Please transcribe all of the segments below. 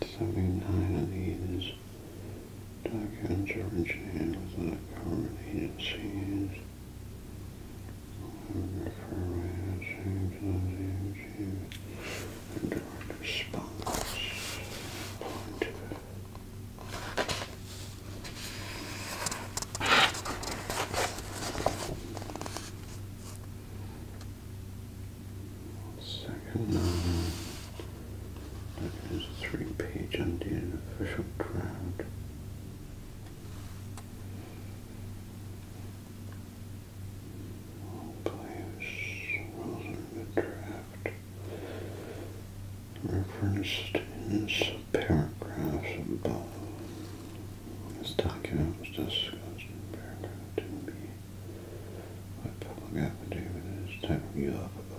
79 of these documents originated within the government agencies. And direct response one second. Um, that is a three-page Indian official crowd. All players, rules in the referenced in subparagraphs above. This document was discussed in paragraph 2b by public affidavit as taking you up uh,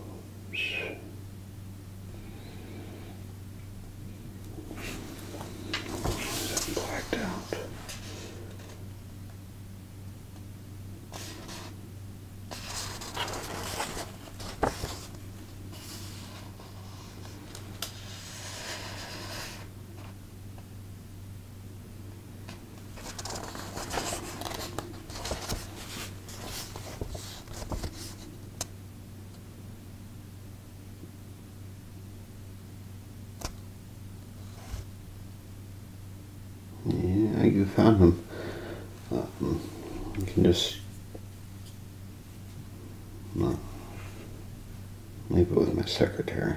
Is that blacked out? Yeah, you found him. I um, can just leave it with my secretary.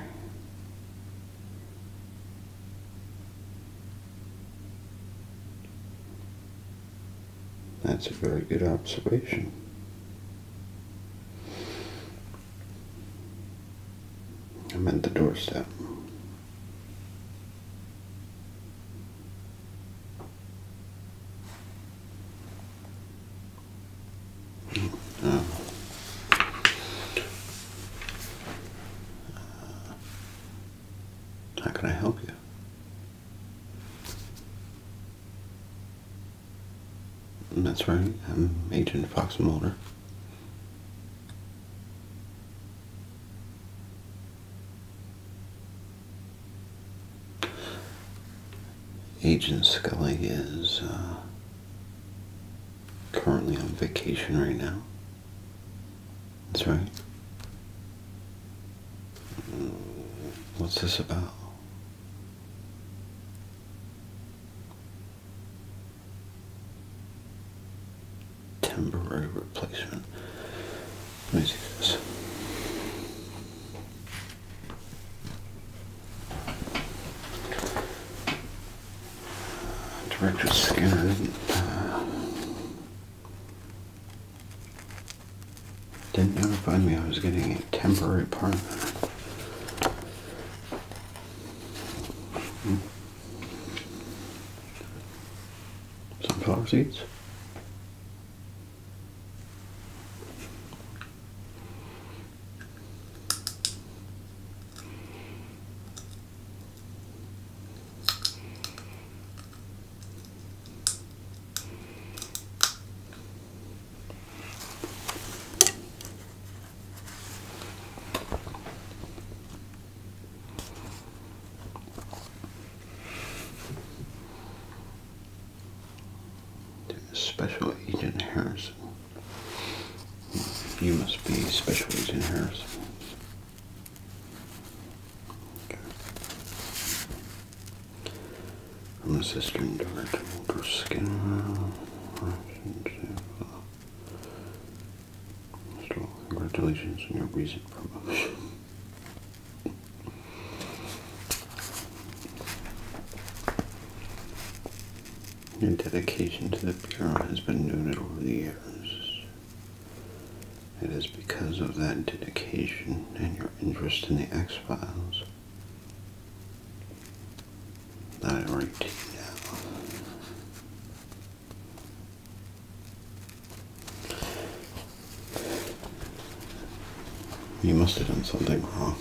That's a very good observation. I am at the doorstep. Um, how can I help you? That's right, I'm Agent Fox Mulder. Agent Scully is uh, currently on vacation right now. That's right. What's this about? Temporary replacement. Let me see this. Director Skinner uh, didn't notify me I was getting a temporary apartment. Hmm. Sunflower seeds. Special Agent Harrison. You must be Special Agent Harrison. I'm a sister and daughter to congratulations on your recent promotion. Your dedication to the Bureau has been noted over the years. It is because of that dedication and your interest in the X Files that I now. You must have done something wrong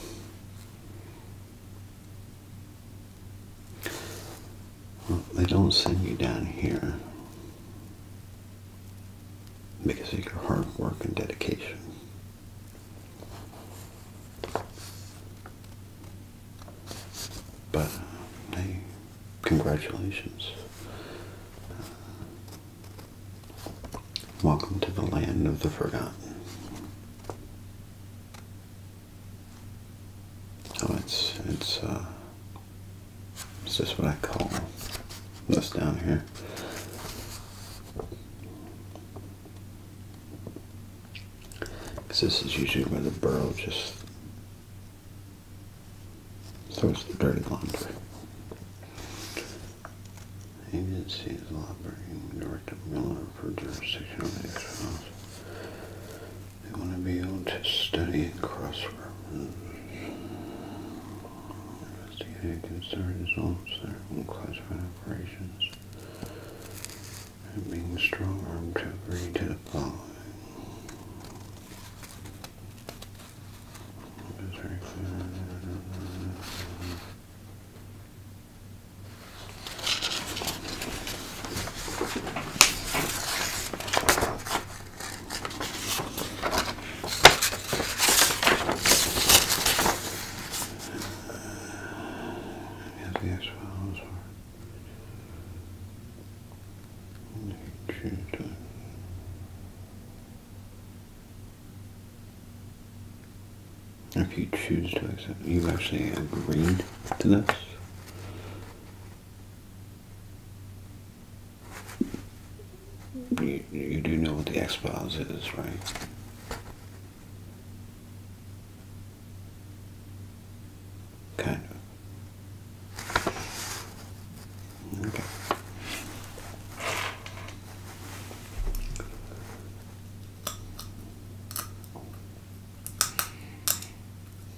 they don't send you down here because of your hard work and dedication. But, congratulations. welcome to the land of the forgotten. Oh, it's it's uh it's just what I call this down here. Because this is usually where the burrow just throws the dirty laundry. They want to be able to study in cross-reference. Investigative concern results from classified operations. And being strong-armed to agree to the following. Get these files for If you choose to accept, you have actually agreed to this. You, do know what the X-Files is, right? Kind of. Okay.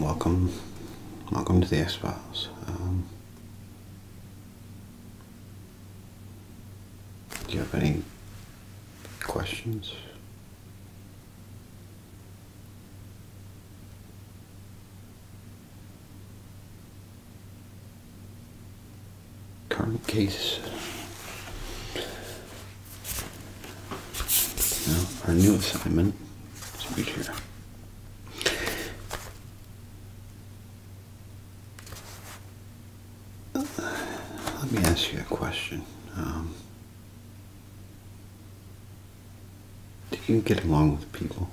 welcome, welcome to the X Files. Um, do you have any questions? Current case. our new assignment is right here. Let me ask you a question. Um, do you get along with people?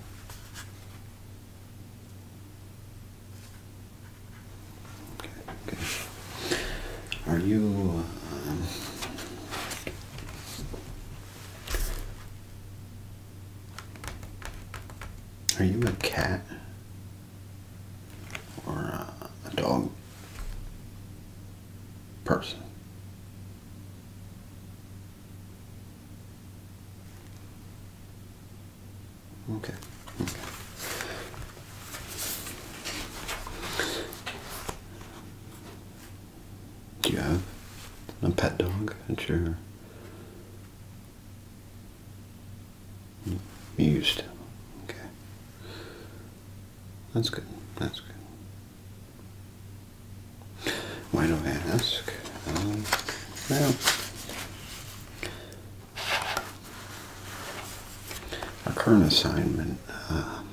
Okay, Are you um, are you a cat or uh, a dog person? Okay. okay. Do you have a pet dog at your you used Okay. That's good. That's good. Why do I ask? Um, well, our current assignment. Um,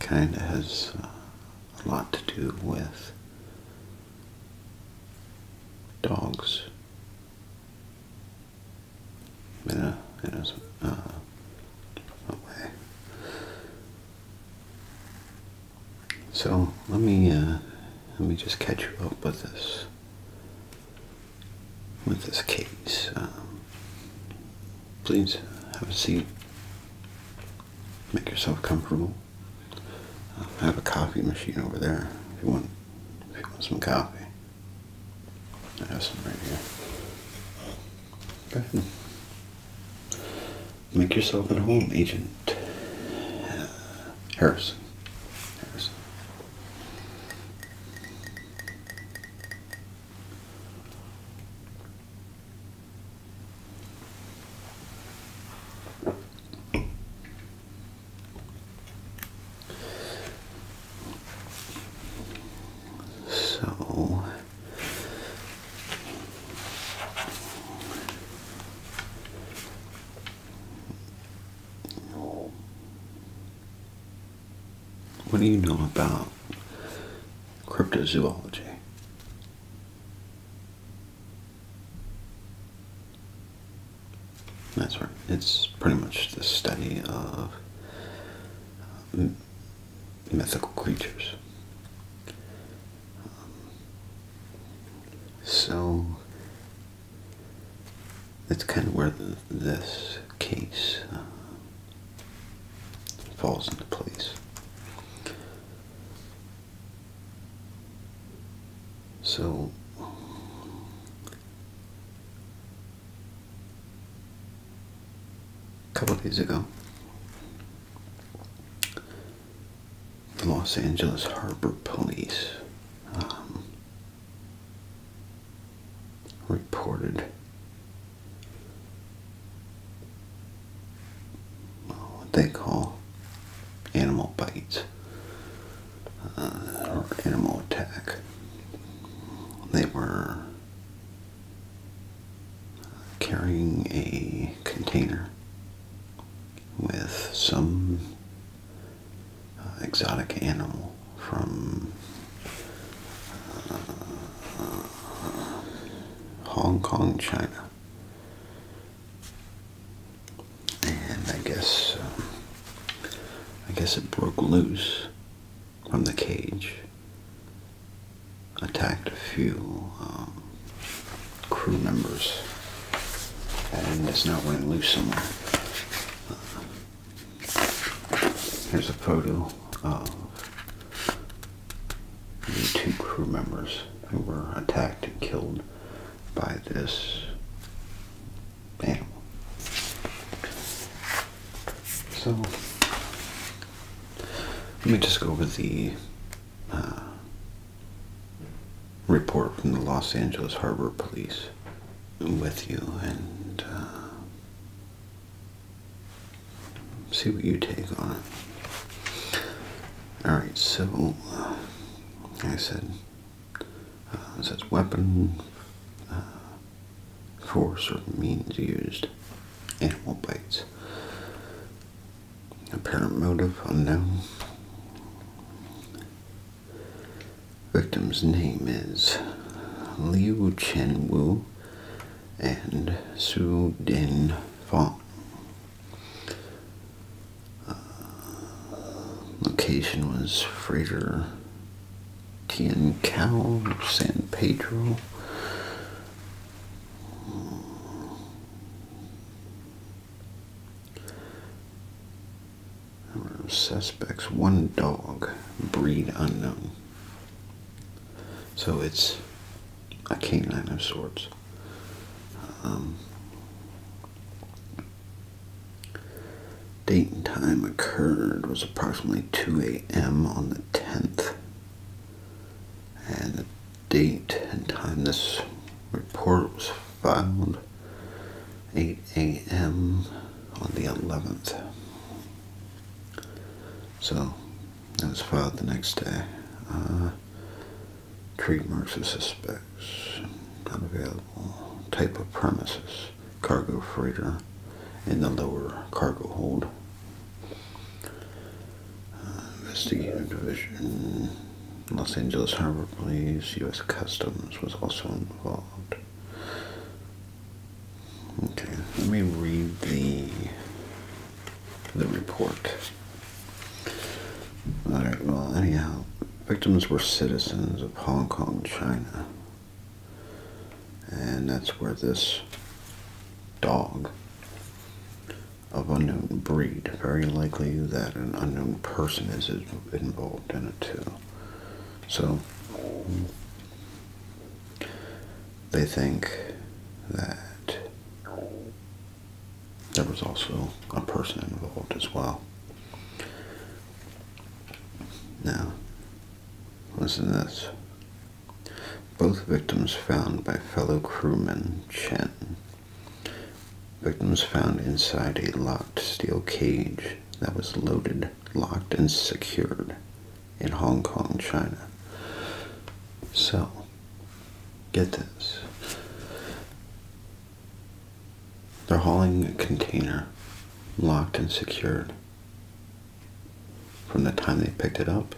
kind of has uh, a lot to do with dogs in uh-huh. a, So let me uh, let me just catch you up with this with this case. Um, please have a seat. Make yourself comfortable. Uh, I have a coffee machine over there if you want if you want some coffee. I have some right here. Good. Make yourself at home, Agent uh, Harrison. So what do you know about cryptozoology? That's right. It's pretty much the study of mythical creatures. Um, so that's kind of where this case uh, falls into place. So a couple days ago. The Los Angeles Harbor Police um, reported what they call animal bites uh, or animal attack. They were carrying a container with some uh, exotic animal from uh, Hong Kong, China. And I guess um, I guess it broke loose from the cage attacked a few um, crew members and it's now running loose somewhere. Uh, here's a photo of two crew members who were attacked and killed by this animal. So let me just go over the uh, report from the Los Angeles Harbor Police with you and uh, see what you take on Alright, so uh, I said, it says weapon for certain means used. Animal bites. Apparent motive unknown. Victim's name is Liu Chen Wu and Su Din Fong. Uh, location was Fraser Ten Tiancal, San Pedro. Number of suspects, one dog, breed unknown. So it's a canine of sorts. Um, date and time occurred was approximately 2 a.m. on the 10th. And the date and time this report was filed 8 a.m. on the 11th. So it was filed the next day. Uh, trademarks of suspects, unavailable, type of premises cargo freighter in the lower cargo hold. Uh, investigative Division, Los Angeles Harbor Police, U.S. Customs was also involved. Okay, let me read the the report. All right. Well, anyhow, victims were citizens of Hong Kong, China. And that's where this dog of unknown breed, very likely that an unknown person is involved in it too. So they think that there was also a person involved as well. Now, listen to this. Both victims found by fellow crewman Chen. Victims found inside a locked steel cage that was loaded, locked, and secured in Hong Kong, China. So, get this. They're hauling a container, locked and secured, from the time they picked it up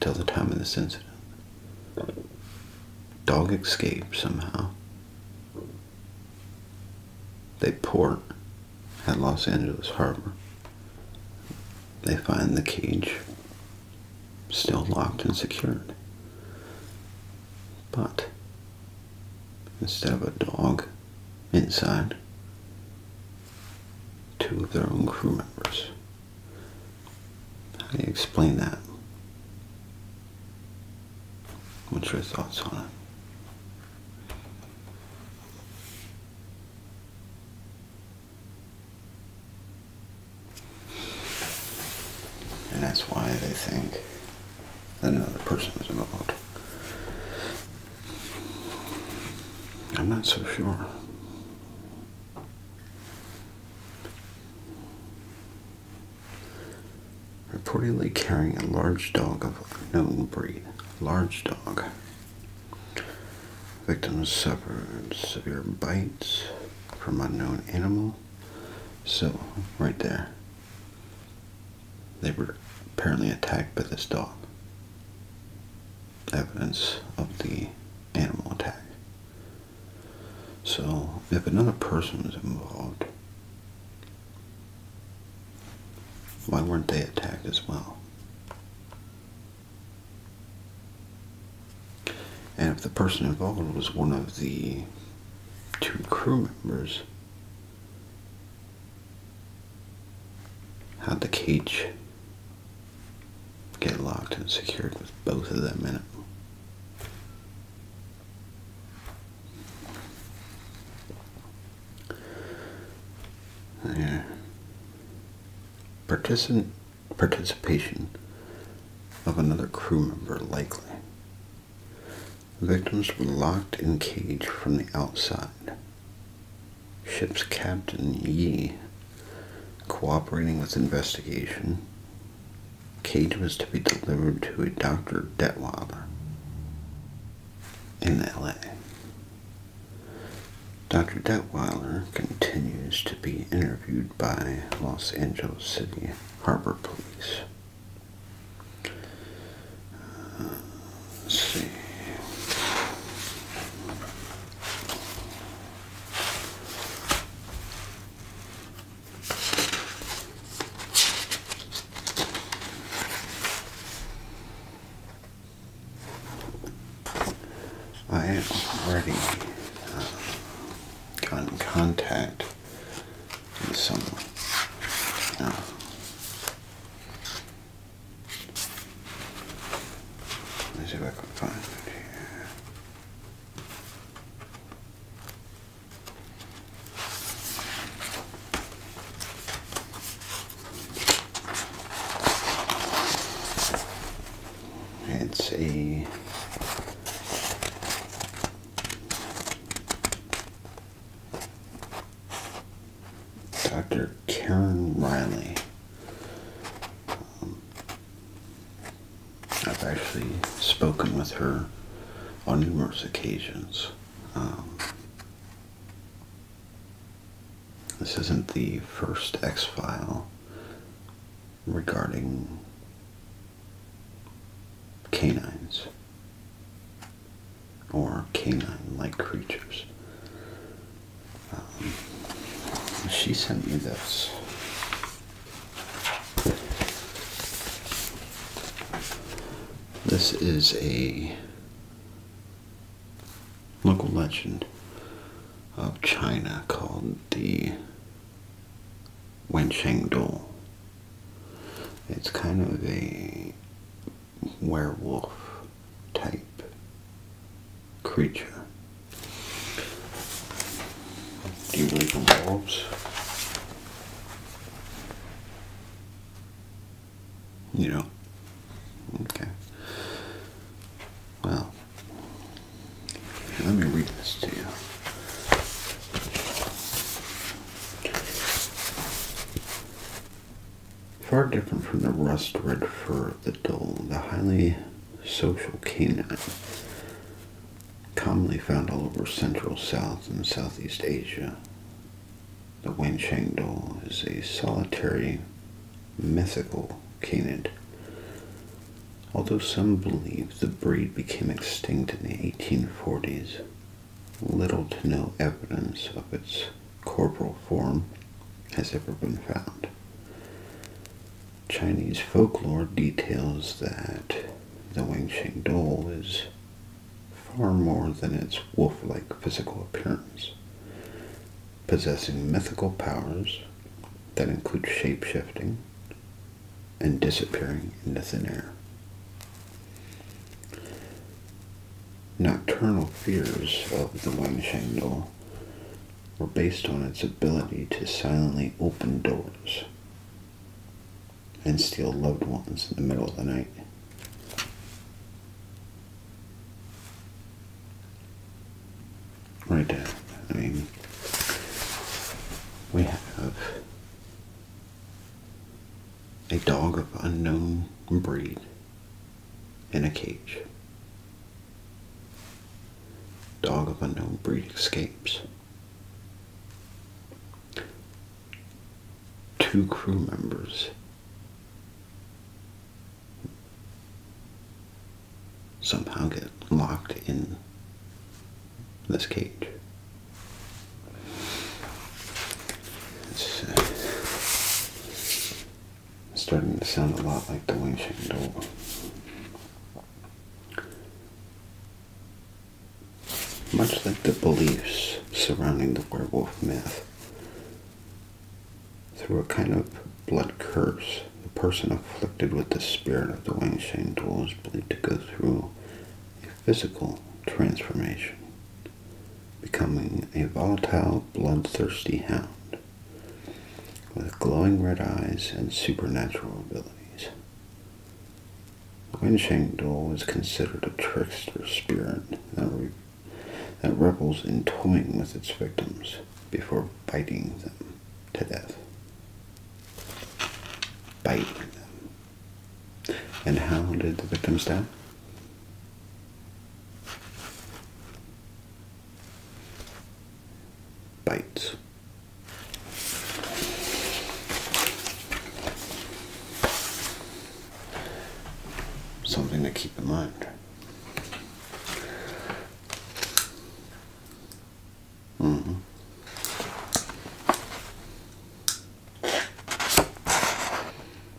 till the time of this incident. Dog escaped somehow. They port at Los Angeles Harbor. They find the cage still locked and secured. But instead of a dog inside two of their own crew members. How do you explain that? What's your thoughts on it? And that's why they think that another person was involved. I'm not so sure. Reportedly carrying a large dog of unknown breed. Large dog. Victims suffered severe bites from unknown animal. So, right there. They were apparently attacked by this dog. Evidence of the animal attack. So, if another person was involved, why weren't they attacked as well? And if the person involved was one of the two crew members, had the cage get locked and secured with both of them in it? Yeah. Participant participation of another crew member likely. Victims were locked in cage from the outside. Ship's Captain Yi, cooperating with investigation, cage was to be delivered to a Dr. Detweiler in LA. Dr. Detweiler continues to be interviewed by Los Angeles City Harbor Police let's see. I have already uh, gotten contact with someone. Uh, Let's see if I can find it here. It's a Dr. Karen Riley. Um, I've actually spoken with her on numerous occasions. Um, this isn't the first X file regarding canines or canine-like creatures. Um, she sent me this. This is a local legend of China called the Wensheng Dong. It's kind of a werewolf type creature. Do you believe in wolves? You know? Okay. Well, let me read this to you. Far different from the rust red fur of the dull, the highly social canine, commonly found all over Central, South, and Southeast Asia, the Wenchang Dole is a solitary, mythical canine. Although some believe the breed became extinct in the 1840s, little to no evidence of its corporal form has ever been found. Chinese folklore details that the Wingsheng doll is far more than its wolf like physical appearance, possessing mythical powers that include shape shifting and disappearing into thin air. Nocturnal fears of the Wenshengdong were based on its ability to silently open doors and steal loved ones in the middle of the night. Right there, I mean, we have a dog of unknown breed in a cage. Dog of unknown breed escapes. Two crew members somehow get locked in this cage. It's uh, starting to sound a lot like the wing chicken dog. Much like the beliefs surrounding the werewolf myth, through a kind of blood curse, the person afflicted with the spirit of the Wing Shang Duel is believed to go through a physical transformation becoming a volatile, bloodthirsty hound with glowing red eyes and supernatural abilities. the Wensheng Dol is considered a trickster spirit that, that revels in toying with its victims before biting them to death. Biting them. And how did the victims die? Bite. Something to keep in mind. -hmm.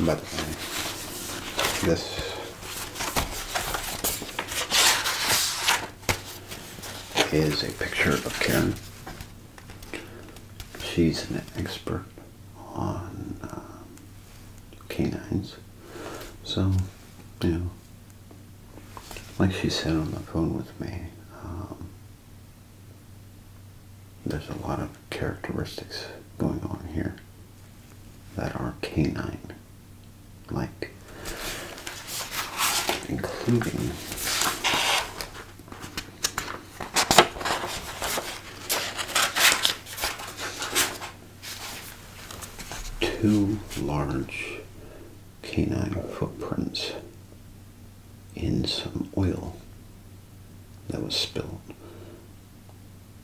but this uh, is a picture of Karen. She's an expert on uh, canines. So, you know, like she said on the phone with me, um, there's a lot of characteristics going on here that are canine like, including two large canine footprints in some oil that was spilled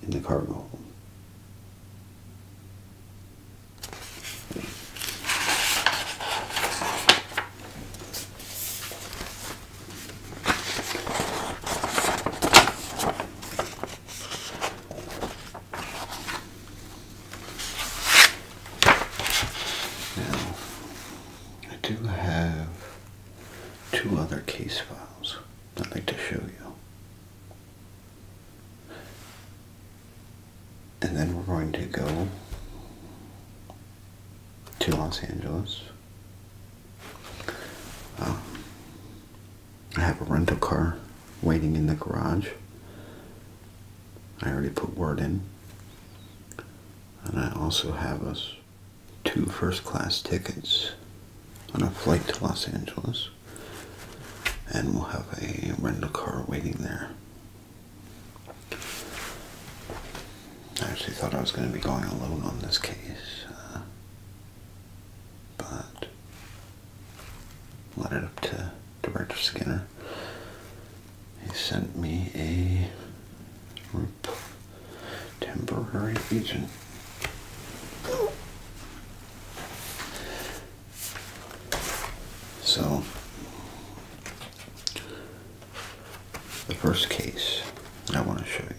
in the cargo hold. Now, I do have two other case files I'd like to show you. And then we're going to go to Los Angeles. Um, I have a rental car waiting in the garage. I already put word in. And I also have us two first class tickets on a flight to Los Angeles. And we'll have a rental car waiting there. I actually thought I was going to be going alone on this case. Uh, but let it up to Director Skinner he sent me a temporary agent. So, the first case I want to show you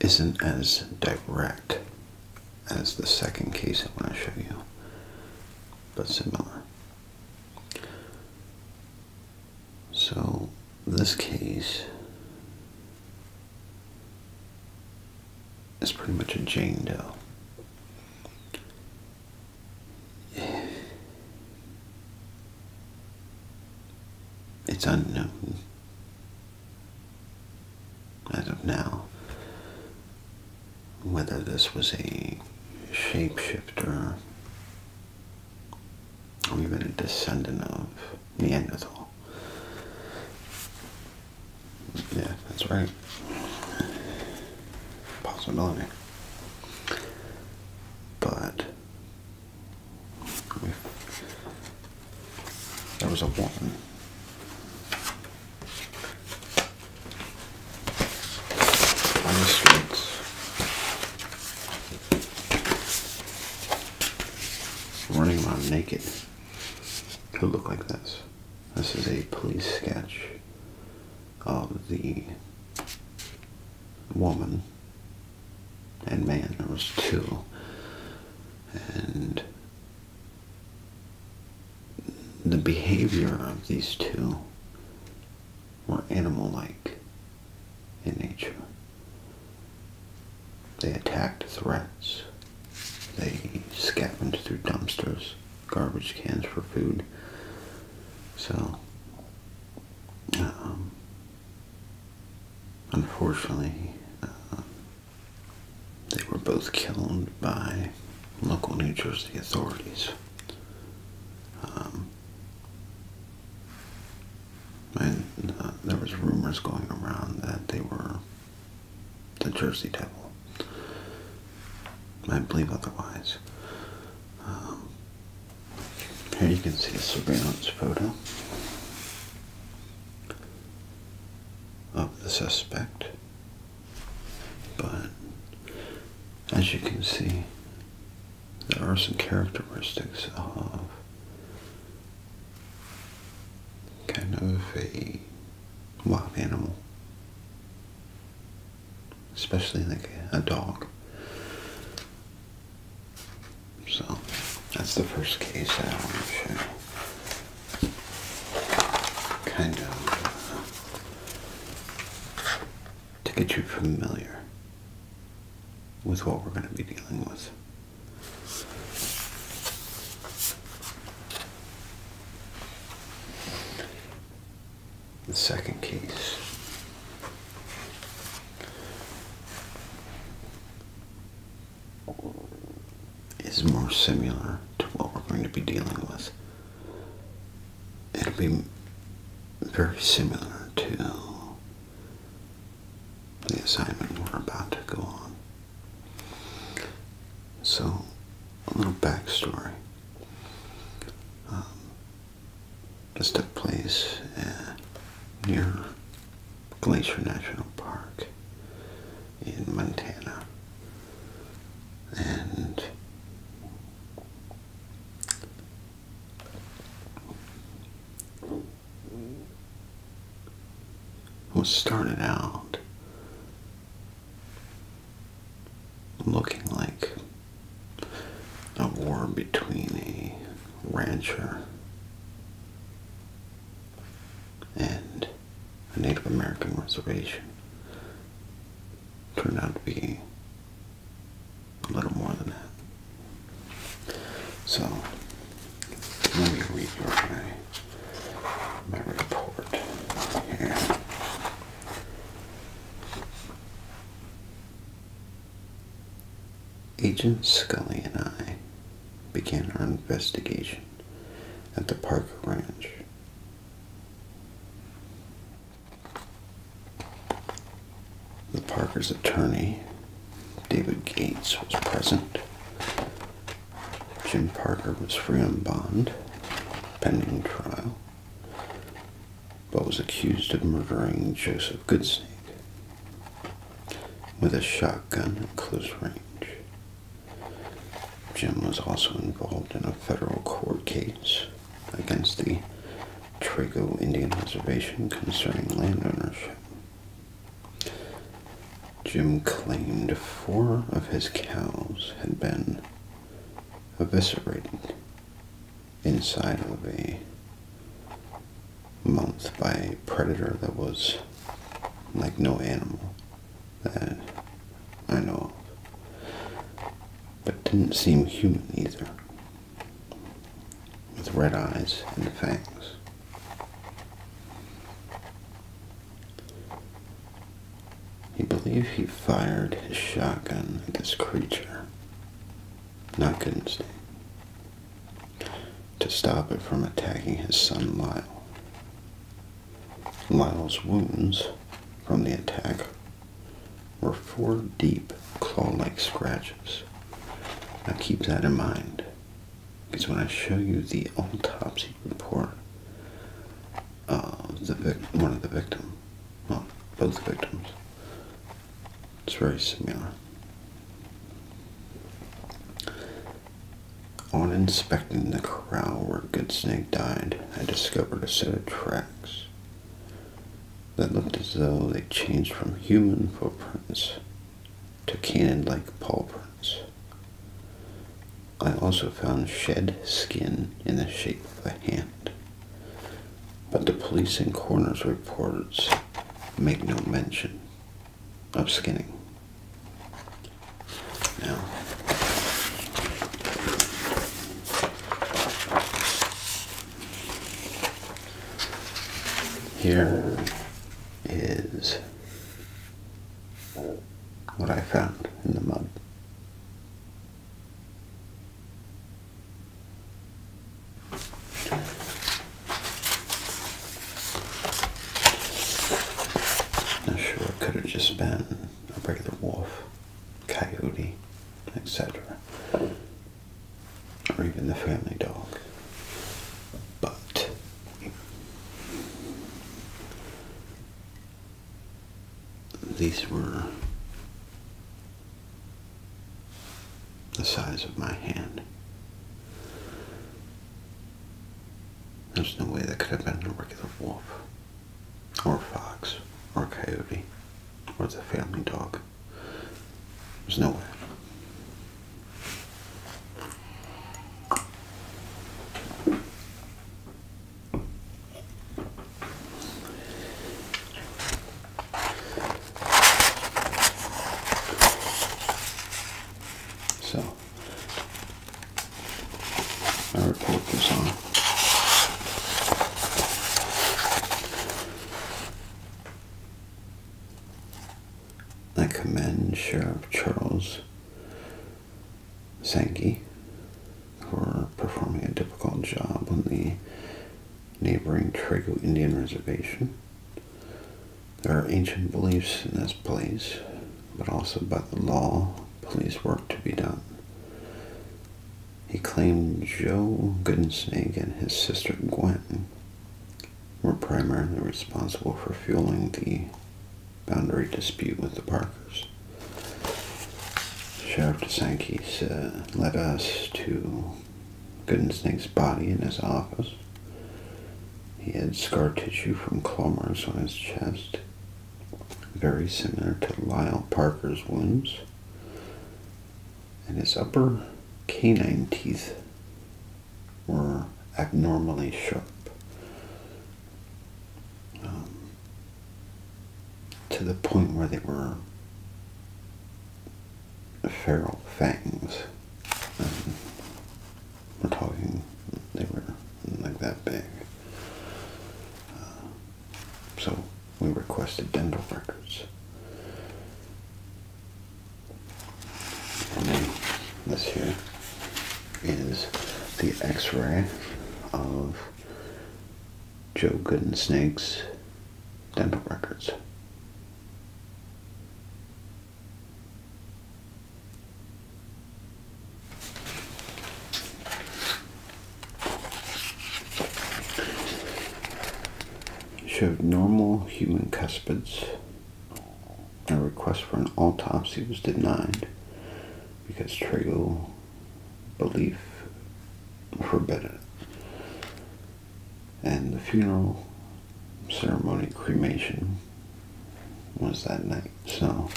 isn't as direct as the second case I want to show you, but similar. So, this case is pretty much a Jane Doe. It's unknown as of now. Whether this was a shapeshifter or even a descendant of Neanderthal. Yeah, that's right. Possibility. But there was a woman Running around naked could look like this. This is a police sketch of the woman and man. There was two and the behavior of these two were animal-like in nature. They attacked threats. They scavenged through dumpsters, garbage cans for food. So, um, unfortunately, uh, they were both killed by local New Jersey authorities. Um, and, uh, there was rumors going around that they were the Jersey Devil. I believe otherwise. Um, here you can see a surveillance photo of the suspect. But as you can see, there are some characteristics of kind of a wild animal, especially like a dog. So that's the first case I want to show. Kind of uh, to get you familiar with what we're going to be dealing with. The second case is more similar to what we're going to be dealing with. It'll be very similar to the assignment we're about to go on. So, a little backstory. Um, this took place uh, near Glacier National Park in Montana. And what started out looking like a war between a rancher and a Native American reservation turned out to be a little more than that. So let me read you my, my report here. Agent Scully and I began our investigation at the Parker Ranch. The Parker's attorney, David Gates, was present. Jim Parker was free on bond, pending trial, but was accused of murdering Joseph Goodsnake, with a shotgun at close range. Jim was also involved in a federal court case against the Trago Indian Reservation concerning land ownership. Jim claimed four of his cows had been eviscerated inside of a month by a predator that was like no animal that I know of, but didn't seem human either, with red eyes and fangs. He believed he fired his shotgun at this creature, could not Goodstein, to stop it from attacking his son Lyle. Lyle's wounds from the attack were four deep claw-like scratches. Now keep that in mind, because when I show you the autopsy report of the one of the victims, well, both victims, it's very similar. On inspecting the corral where Good Snake died, I discovered a set of tracks that looked as though they changed from human footprints to canid-like paw prints. I also found shed skin in the shape of a hand, but the police and coroner's reports make no mention of skinning. Now, here is what I found in the mud. Not sure, could have just been a regular wolf, coyote, etc. Or even the family dog. But these were the size of my hand. There's no way that could have been a regular wolf, or a fox, or a coyote, or the family dog. There's no way. So I report this on. I commend Sheriff Charles Sankey for performing a difficult job on the neighboring Trego Indian Reservation. There are ancient beliefs in this place, but also by the law, police work to be done. He claimed Joe Goodensnake and his sister Gwen were primarily responsible for fueling the boundary dispute with the Parkers. Sheriff DeSanke led us to Goodensnake's body in his office he had scar tissue from clumers on his chest, very similar to Lyle Parker's wounds, and his upper canine teeth were abnormally sharp. Um, to the point where they were feral fangs. Um, we're talking they were like that big. Uh, so we requested dental records. And then this here is the x-ray of Joe Gooden Snake's dental records. Showed normal human cuspids. A request for an autopsy was denied because tribal belief forbade it, And the funeral ceremony cremation was that night, so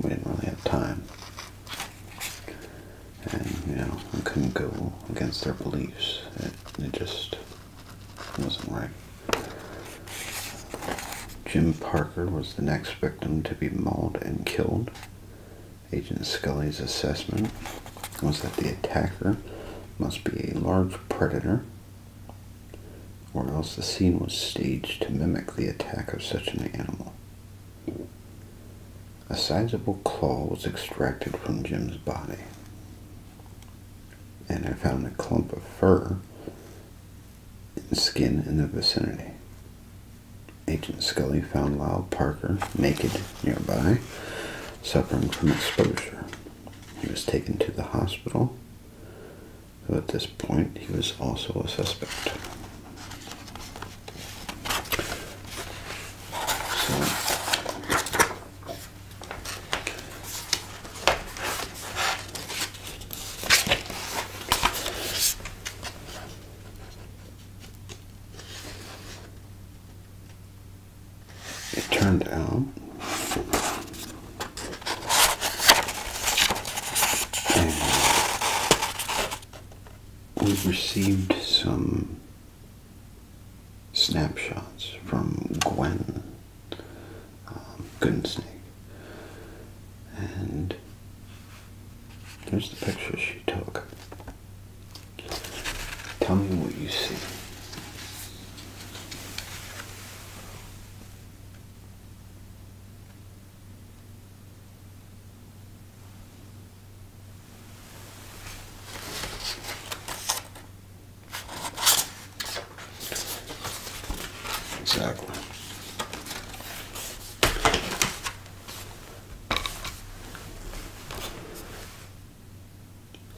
we didn't really have time. And, you know, we couldn't go against their beliefs. It, just wasn't right. Jim Parker was the next victim to be mauled and killed. Agent Scully's assessment was that the attacker must be a large predator or else the scene was staged to mimic the attack of such an animal. A sizable claw was extracted from Jim's body, and I found a clump of fur and skin in the vicinity. Agent Scully found Lyle Parker naked nearby, suffering from exposure. He was taken to the hospital so at this point, he was also a suspect it turned out we received some snapshots from Gwen um, Gooden and there's the picture she took. Tell me what you see. Exactly.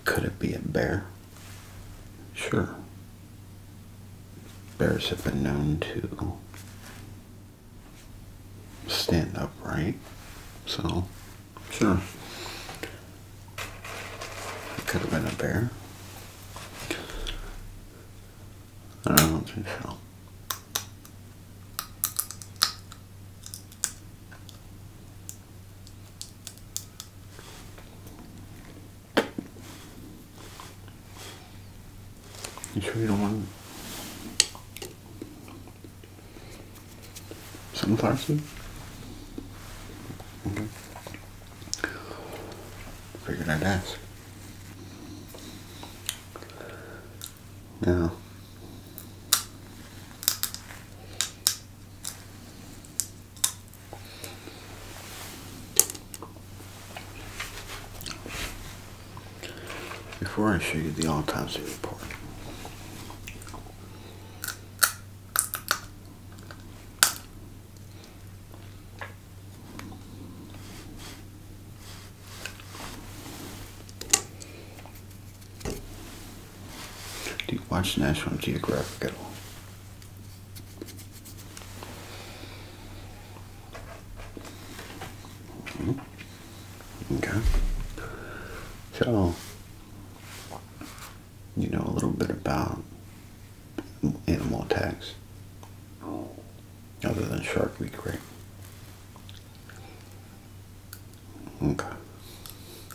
Could it be a bear? Sure. Bears have been known to stand upright, so sure. It could have been a bear. I don't think so. You sure you don't want sunflower seed? Okay. Figured I'd Now, before I show you the all-time autopsy report, do you watch National Geographic at all? Mm-hmm. Okay. So, you know a little bit about animal attacks other than Shark Week, right? Okay.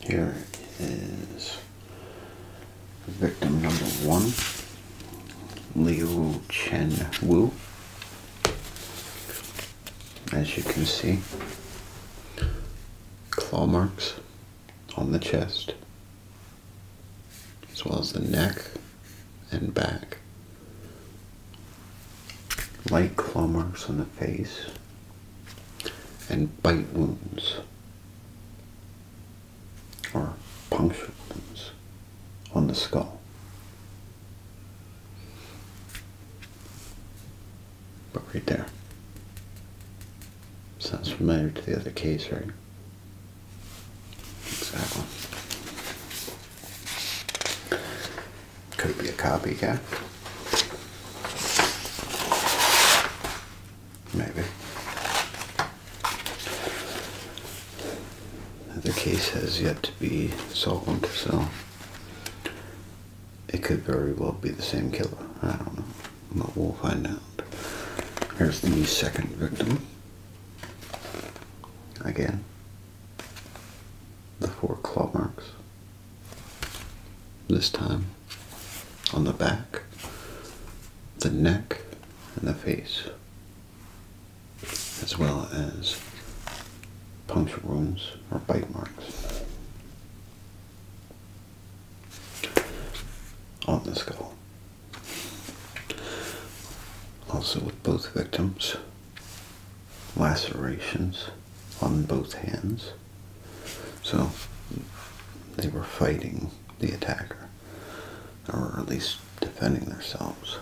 Here is victim number one, Liu Chen Wu. As you can see, claw marks on the chest, as well as the neck and back light claw marks on the face, and bite wounds or puncture wounds on the skull. But right there. Sounds familiar to the other case, right? Exactly. Could be a copycat. Maybe. The case has yet to be solved, so it could very well be the same killer. I don't know, but we'll find out. Here's the second victim. Again the four claw marks. This time on the back, the neck, and the face, as well as puncture wounds or bite marks on the skull. Also, with both victims, lacerations on both hands. So they were fighting the attacker, or at least defending themselves.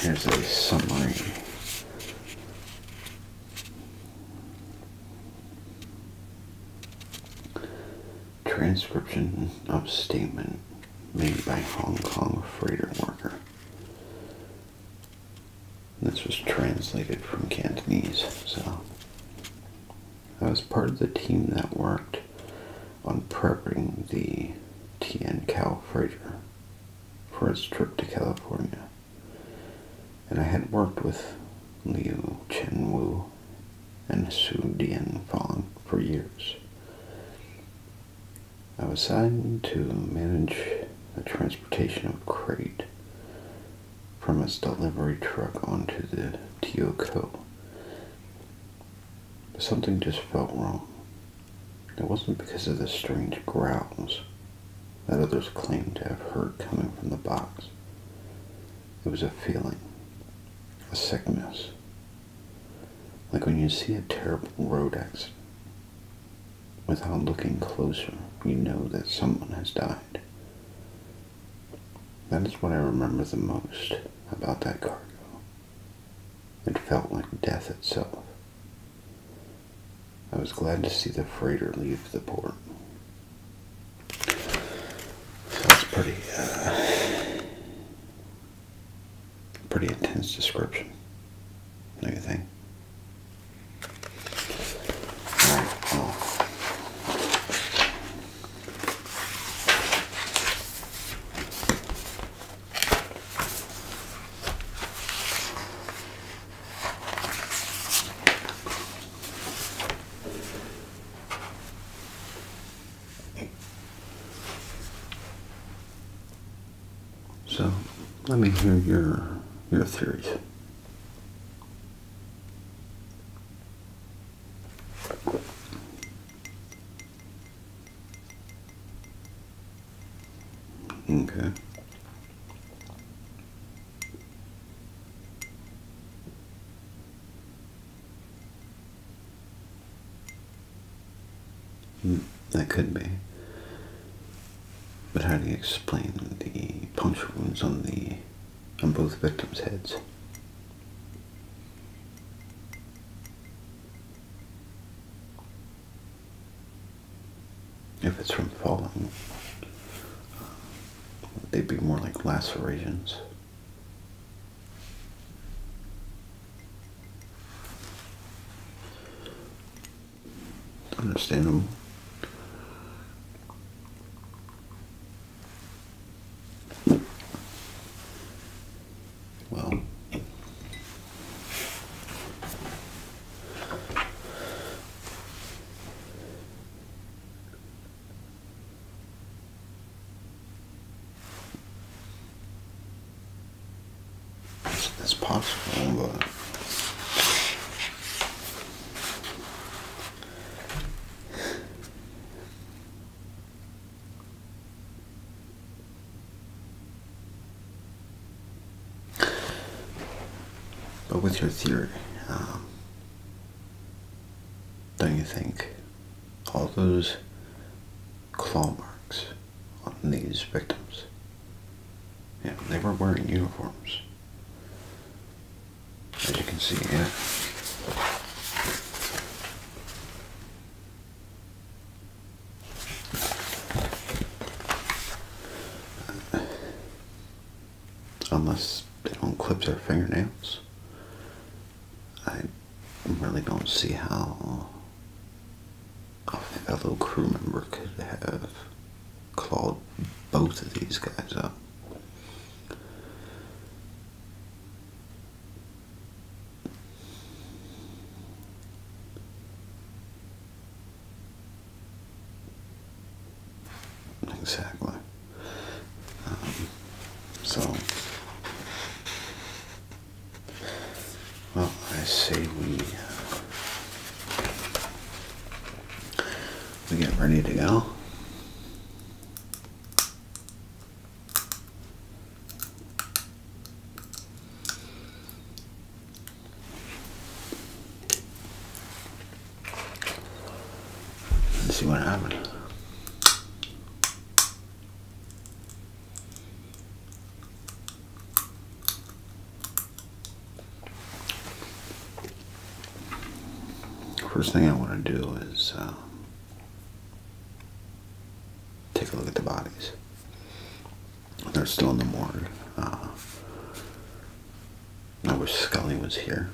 Here's a summary transcription of statement made by Hong Kong freighter worker. This was translated from Cantonese, so I was part of the team that worked on prepping the TN Cal freighter for its trip to California. And I had worked with Liu Chenwu and Su Dian for years. I was assigned to manage the transportation of crate from its delivery truck onto the TOCO. something just felt wrong. It wasn't because of the strange growls that others claimed to have heard coming from the box. It was a feeling, a sickness, like when you see a terrible road accident, without looking closer, you know that someone has died. That is what I remember the most about that cargo. It felt like death itself. I was glad to see the freighter leave the port. That's pretty uh, Pretty intense description, do so, let me hear your your theories. Okay. Mm, that could be. But how do you explain the punch wounds on the on both victims' heads? If it's from falling, they'd be more like lacerations. Understandable. Well, that's possible, but. But with your theory, um, don't you think all those claw marks on these victims. Yeah, they were wearing uniforms. As you can see, yeah. Unless they don't clip their fingernails. I I really don't see how a fellow crew member could have clawed both of these guys up. Exactly. Um, so well, I say we uh, we get ready to go. Let's see what happens. First thing I want to do is um, take a look at the bodies. They're still in the morgue. Uh, I wish Scully was here.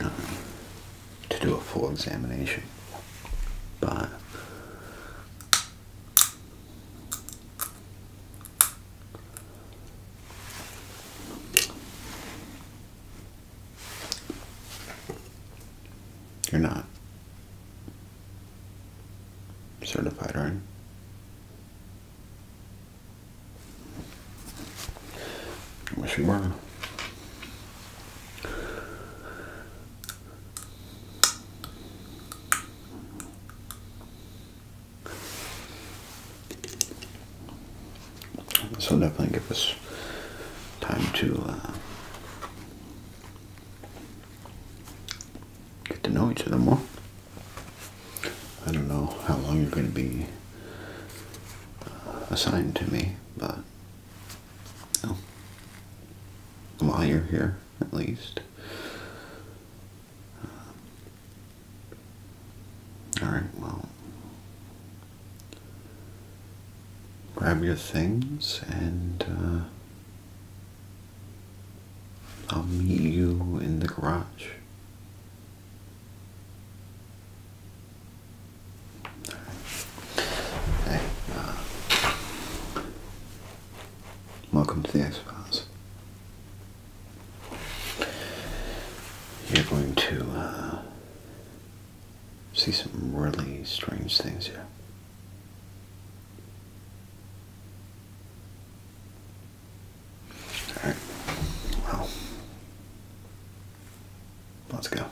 Um, to do a full examination. But you're not certified, right? I wish you were. This will definitely give us time to uh, get to know each other more. I don't know how long you're going to be uh, assigned to me, but while oh. you're here, at least. Uh, Alright, well. Grab your things and uh, I'll meet you in the garage. Uh, welcome to the X-Files. You're going to uh, see some really strange things here. Alright, well, let's go.